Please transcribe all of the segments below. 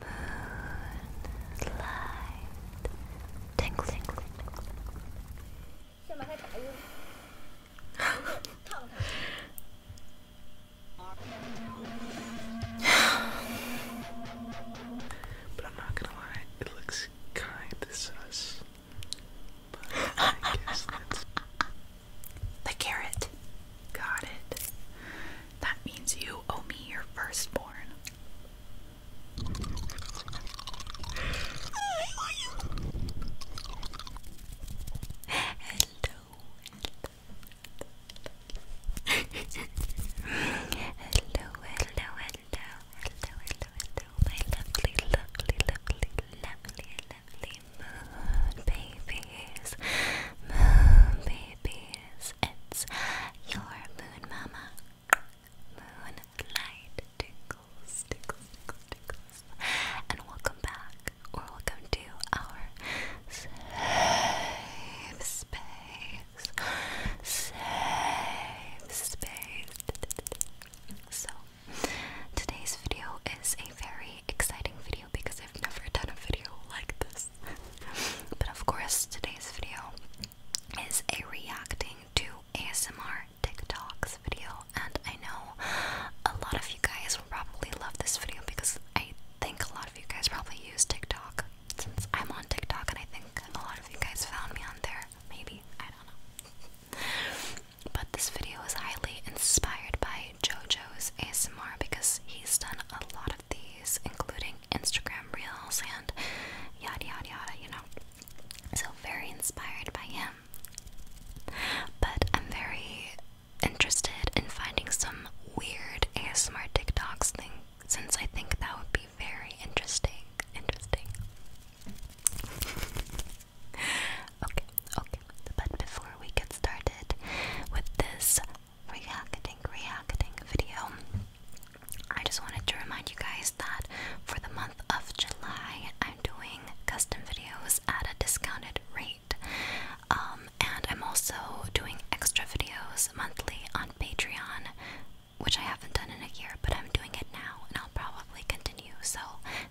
Moonlight. i I'm not gonna lie, it looks kind of sus. the carrot. Got it. That means you owe me your firstborn. Hello. hello, hello, hello, hello, hello, my lovely, lovely, lovely, lovely, lovely moon babies, moon babies, it's your moon mama. Moonlight tickles, tickles, tickles, And welcome back, or welcome to our safe space. Safe space. So, today's video is a very exciting video because I've never done a video like this but of course, today's video is a reacting to ASMR TikToks video, and I know a lot of you guys will probably love this video because I think a lot of you guys probably use TikTok since I'm on TikTok, and I think a lot of you guys found me on there. Maybe I don't know. But this video is highly inspired by JoJo's ASMR because he's done a lot of these, including Instagram Reels and yada yada yada, you know. So, very inspired by him. But I'm very interested in finding some weird ASMR TikToks thing since I think that would be very interesting. Interesting. okay, okay. But before we get started with this Reacting, rehacketing video. I just wanted to remind you guys that for the month of July, I'm doing custom videos at a discounted rate. Um, and I'm also doing extra videos monthly on Patreon, which I haven't done in a year, but I'm doing it now and I'll probably continue. So,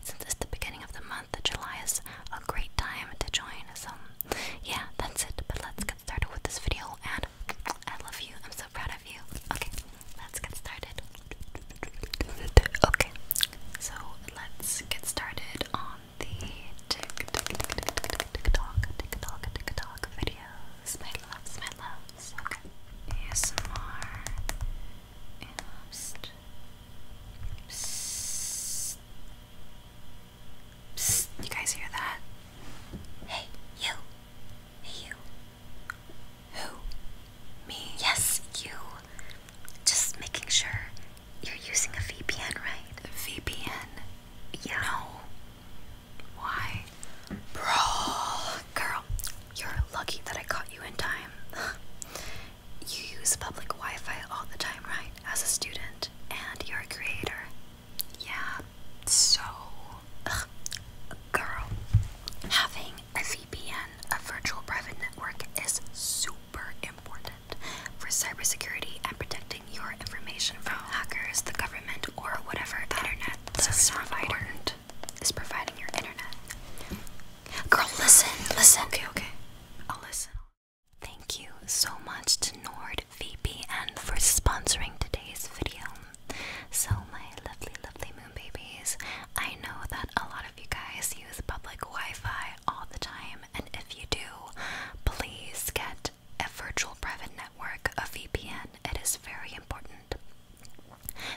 since it's the beginning of the month, July is a great time to join. So, yeah, that's it. But let's get started with this video. And I love you. I'm so proud of you. Okay, let's get started. Okay, so let's get started on the TikTok, TikTok, TikTok, videos. My loves, my loves. Okay, ASMR. And psst you guys hear that? Hey, you. Hey, you. Who? Me? Yes, you. Just making sure you're using a VPN, right? VPN? Yeah. No. Why? Bro, girl, you're lucky that I caught you in time. You use public Wi Fi all the time, right? As a student, and you're a creator. Yeah, so, girl, having a VPN, a virtual private network, is super important for cybersecurity and protecting your information from oh. hackers, the government, or whatever the internet service provider is providing your internet. Girl, listen, listen. Okay, okay. I'll listen. Thank you so much to NordVPN for sponsoring today's video. So, my lovely, lovely moon babies, I know that a lot of you guys use public Wi Fi all the time, and if you do, please get a virtual private network, a VPN. It is very important.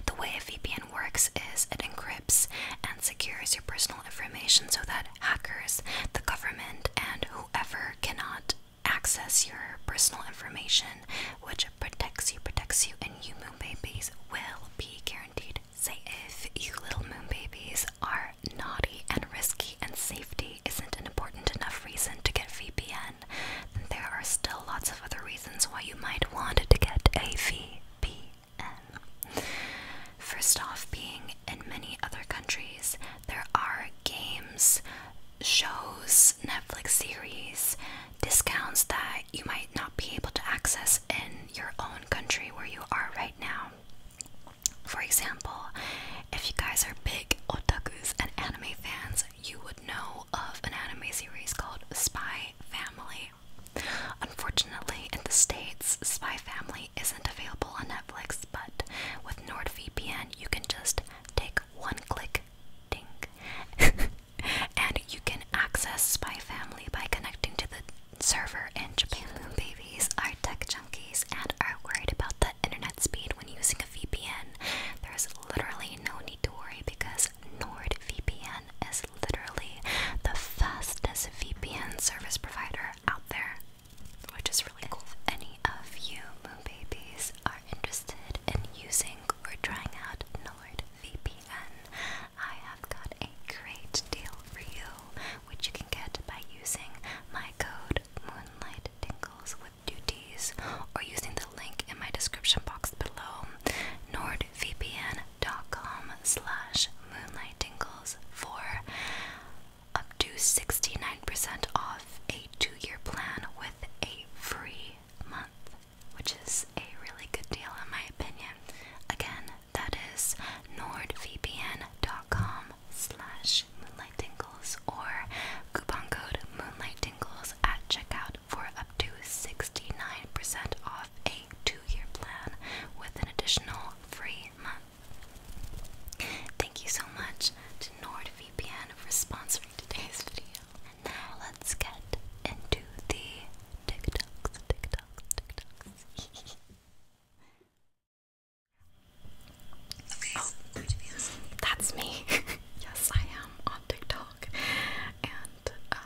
The way a VPN works is it encrypts and secures your personal information so that hackers, the government, and whoever cannot access your personal information, which protects you, protects you, and you moon babies will be guaranteed safe. You little moon babies are naughty and risky, and safety isn't an important enough reason to get VPN. Then there are still lots of other reasons why you might want to get a VPN. First off, being in many other countries, there are games, shows, Netflix series, discounts that you might not be able to access in your own country where you are right now. For example, if you guys are big otakus and anime fans, you would know of an anime series called Spy Family. Unfortunately, in the States, Spy Family isn't available on Netflix, but with NordVPN, you can just take one click, ding, and you can access Spy Family by connecting to the server in Japan. Boom babies are tech junkies and are worried about the internet speed when using a VPN. There's literally no need to worry because NordVPN is literally the fastest VPN service provider out there, which is really cool. If any of you moon babies are interested in using or trying out NordVPN, I have got a great deal for you, which you can get by using my code Moonlight with duties or using the link in my description box below. NordVPN dot com slash moonlight tingles for up to 69% off a two-year plan with a free month, which is a really good deal in my opinion. Again, that is nordvpn dot com slash moonlight tingles or coupon code moonlight tingles at checkout for up to 69% off off a two-year plan with an additional free month. Thank you so much to NordVPN for sponsoring today's video. And now let's get into the TikToks, TikToks, TikToks. Okay, oh, that's me. yes, I am on TikTok, and um,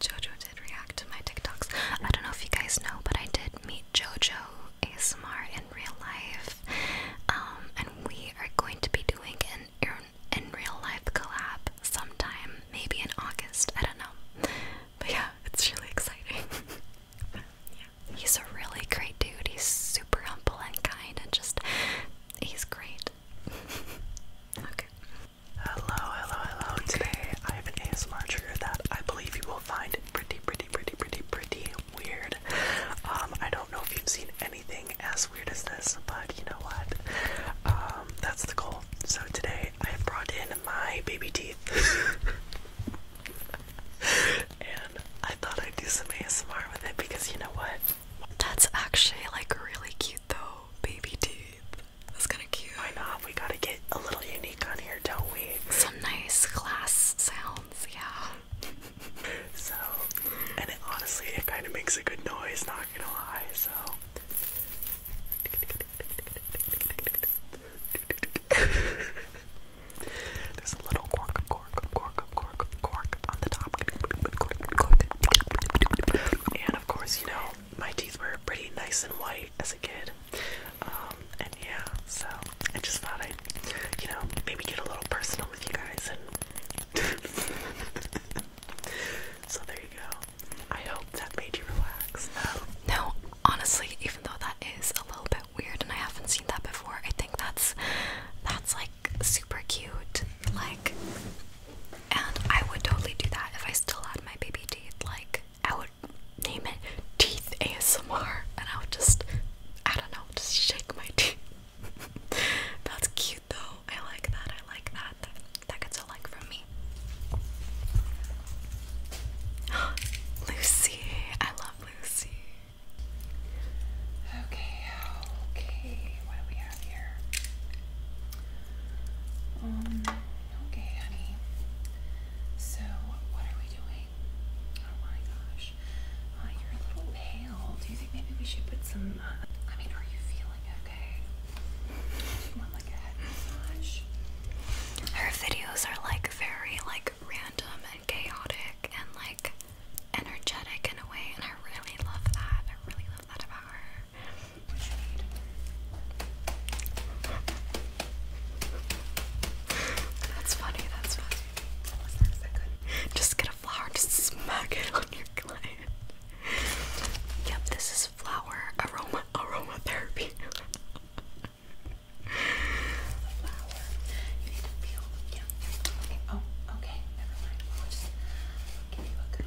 Jojo did react to my TikToks. I don't know if you guys know, but I did meet Jojo ASMR in real life. Um, and we are going to be doing an in, real life collab sometime, maybe in August. I don't know. But yeah, it's really exciting. yeah. He's a really great dude. He's super humble and kind and just, he's great. okay. Hello, hello, hello. Today I have an ASMR trigger that I believe you will find pretty, pretty, pretty, pretty, pretty weird. Um, I don't know if you've seen anything as weird as this, but you know what? Um, that's the goal. So today I have brought in my baby teeth. and I thought I'd do some ASMR with it because you know what? That's actually like really cute though, baby teeth. That's kind of cute. Why not? We gotta get a little unique on here, don't we? Some nice glass sounds, yeah. so, and it, honestly, it kind of makes a good noise, not gonna lie. So. There's a little cork, cork, cork, cork, cork on the top, and of course, you know, my teeth were pretty nice and white as a kid. Um, and yeah, so I just thought i you know, maybe get a little personal with you guys so there you go. I hope that made you relax. Um, no, honestly, even though that is a little bit weird and I haven't seen that before, I think that's that's like super cute. Like and I would totally do that if I still had my baby teeth. Like, I would name it Teeth ASMR, and I would just, I don't know, just shake my teeth. That's cute though. I like that. I like that. That, gets a like from me. Lucy. I love Lucy. Okay, okay. What do we have here? Um, okay, honey. So, what are we doing? Oh my gosh. Uh, you're a little pale. Do you think maybe we should put some. Uh, I mean, are you feeling okay? Do you want like a head massage? Her videos are like very like random and chaotic and like energetic in a way, and I really love that. I really a lot about her. That's funny, that's funny. Just get a flower, just smack it on your client. Yep, this is flower aroma aromatherapy. flower. You need to feel yeah. Okay. Oh, okay. Never mind. I'll just give you a good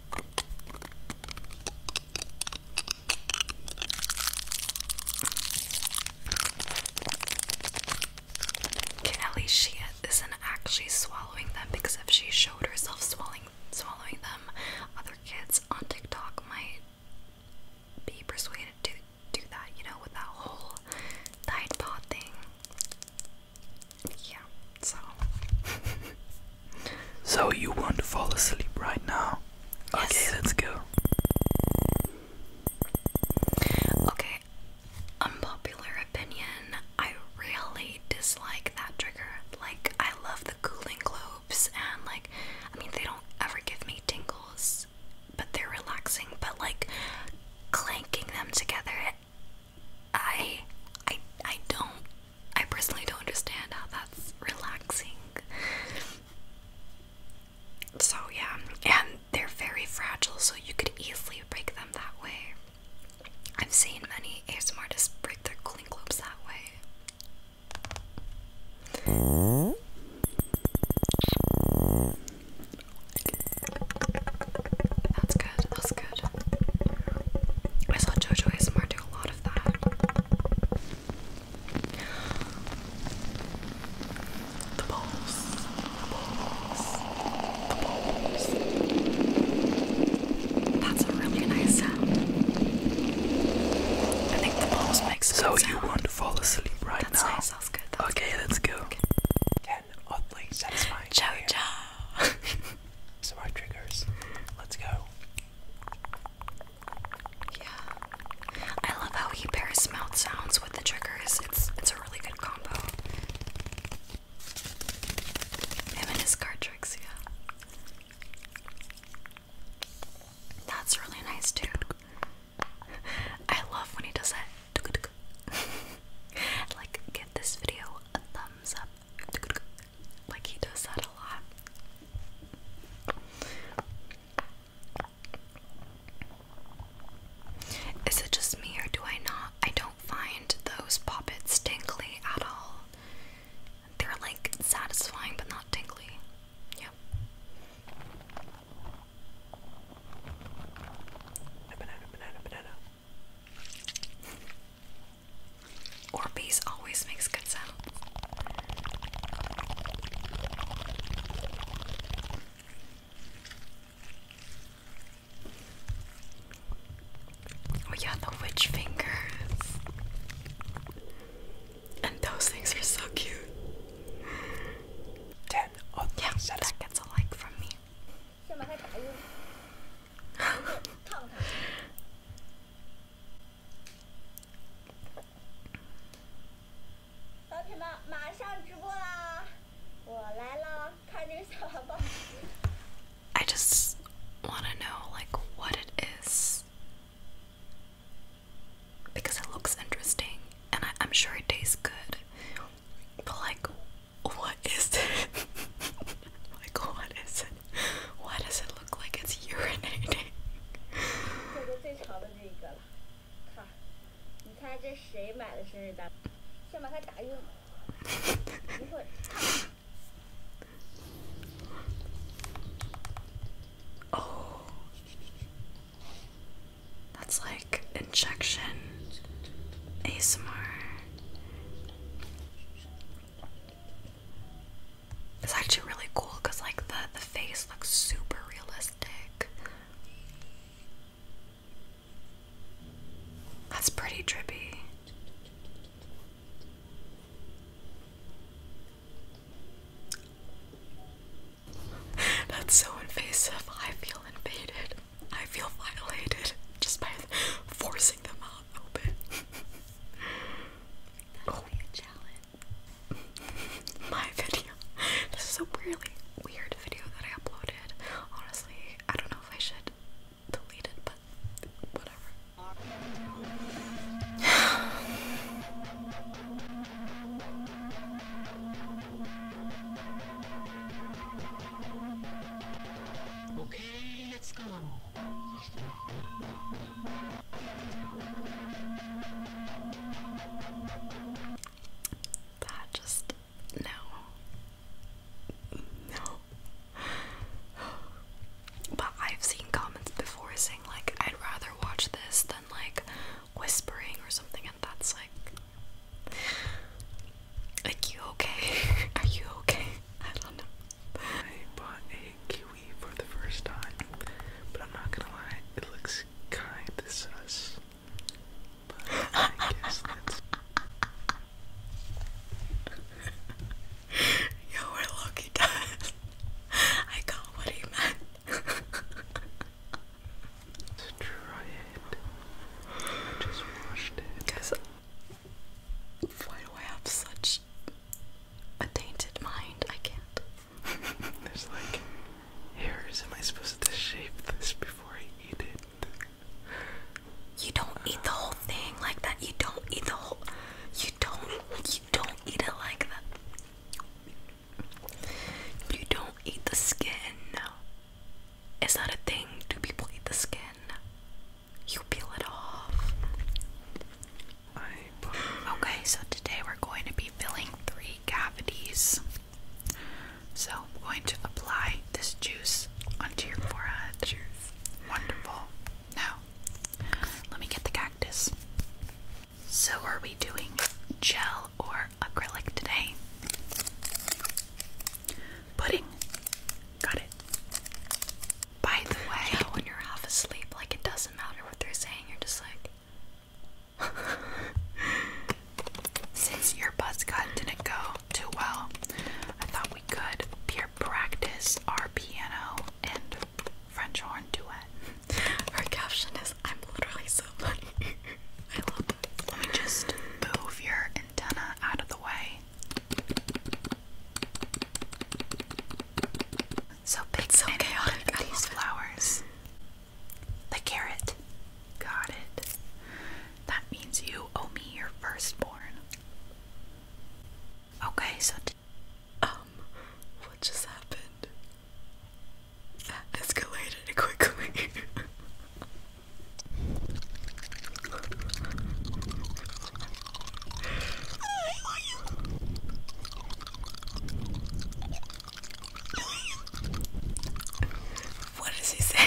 Okay, at she isn't actually swallowing them because if she showed herself swallowing swallowing them, other kids on TikTok might be persuaded to do that, you know, with that whole Tide Pod thing yeah, so. so, you want to fall asleep right now? Okay, let's go. Okay, unpopular opinion. I really dislike that trigger. Like, I love the cooling globes, and like, I mean, they don't ever give me tingles, but they're relaxing. But like, clanking them together I I I don't I personally don't understand how that's relaxing. So yeah, and they're very fragile, so you could easily break them that way. I've seen many ASMR artists break their cooling globes that way. That's good, that's good. I saw JoJo Smart do a lot of that. The balls. The balls. The balls. That's a really nice sound. I think the balls makes a So you want to fall asleep right That's Nice. That's good. okay, let's go. Okay. oddly satisfying. Ciao, So our triggers. Let's go. Yeah. I love how he pairs mouth sounds with the triggers. It's it's a really good combo. Him and his card tricks, yeah. That's really nice too. I love when he does that. like, give this video a thumb like he does that a lot. Is it just me or do I not? I don't find those poppets tingly at all. They're like satisfying but not tingly. Yep. banana, banana, banana. Orbeez always makes good sounds. Oh yeah, the witch fingers. And those things are so cute. Ten. Oh, that gets a like from me. I just want to know, like, what it is. Because it looks interesting and I, I'm sure it tastes good. But, like, what is this? like, what is it? Why does it look like it's urinating? oh, that's like injection ASMR. It's actually really cool because like the the face looks super realistic. That's pretty trippy. That's so invasive. I feel invaded. I feel violated just by forcing them out open. That's oh. a challenge. My video. This is a really weird video that I uploaded. Honestly, I don't know if I should delete it, but whatever. Okay, let's go. That just no. No. But I've seen comments before saying like I'd rather watch this than like whispering or something and that's like like you okay? Are you okay? I don't know. I bought a kiwi for the first time, but I'm not gonna lie, it looks kind of sus. But I guess that's. Yo, we're lucky, done. I got what he meant let try it. I just washed it. Because why do I have such a tainted mind? I can't. There's like hairs. Am I supposed to shape this before I eat it? You don't eat the whole thing like that. You don't eat the whole. You don't. You don't eat it like that. You don't eat the skin. Is that a thing? Do people eat the skin? You peel it off. Okay, so today we're going to be filling three cavities. So I'm going to apply this juice onto your forehead. Wonderful. Now, let me get the cactus. So, are we doing gel or acrylic today. Pudding. Got it. By the way, when you're half asleep, like it doesn't matter what they're saying, you're just like. Since your buzz cut didn't go too well, I thought we could peer practice our piano and French horn duet. Her caption is I'm literally so funny. I love it. Let me just move your antenna out of the way. So big so chaotic. I these flowers. The carrot. Got it. That means you owe me your firstborn. Okay, so um, what just happened? that escalated quickly. what does he say?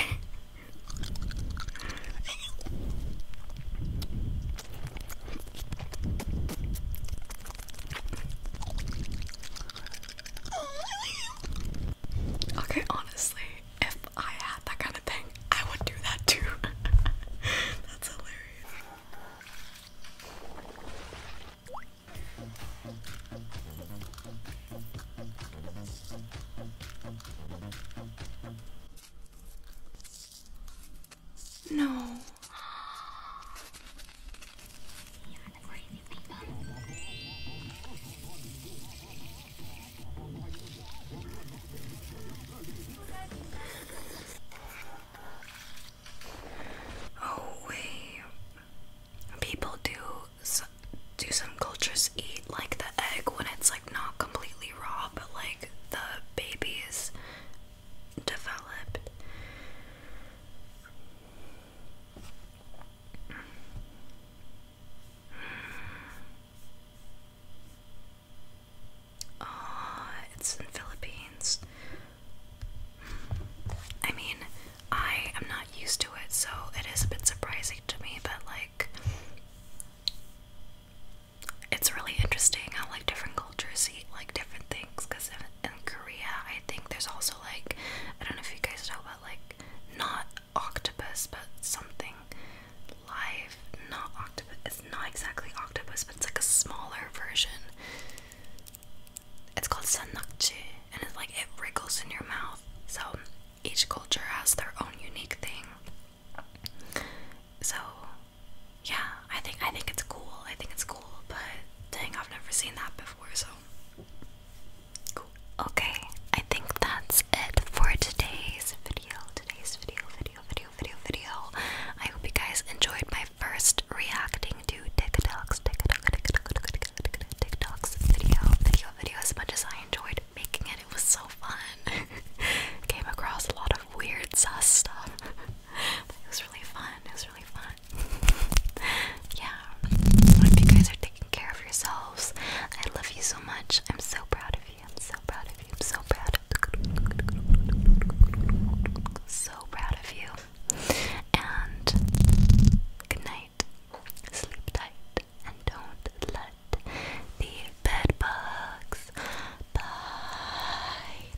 Okay, honestly, if I had that kind of thing, I would do that too. That's hilarious. No. Oh wait, people do some, do some cultures eat like the egg when it's like not completely raw, but like the baby is developed. Oh, it's in Philippines. I mean, I am not used to it, so it is a bit surprising to me, but like it's really interesting how like different cultures eat like different things because Korea, I think there's also like I don't know if you guys know about like not octopus but something live. Not octopus. It's not exactly octopus, but it's like a smaller version. It's called sanakchi, and it's like it wrinkles in your mouth. So each culture has their own unique thing. So yeah, I think I think it's cool. I think it's cool, but dang, I've never seen that before. So Okay, I think that's it for today's video. Today's video, video, video, video, video. I hope you guys enjoyed my first reacting to TikToks, TikTok, TikTok, TikTok, TikToks video, video, video. As much as I enjoyed making it, it was so fun. Came across a lot of weird stuff. But it was really fun. It was really fun. yeah. I hope you guys are taking care of yourselves. I love you so much. I'm so proud of you. I'm so proud of you. I'm so proud of you. So proud of you. And good night. Sleep tight. And don't let the bed bugs bite.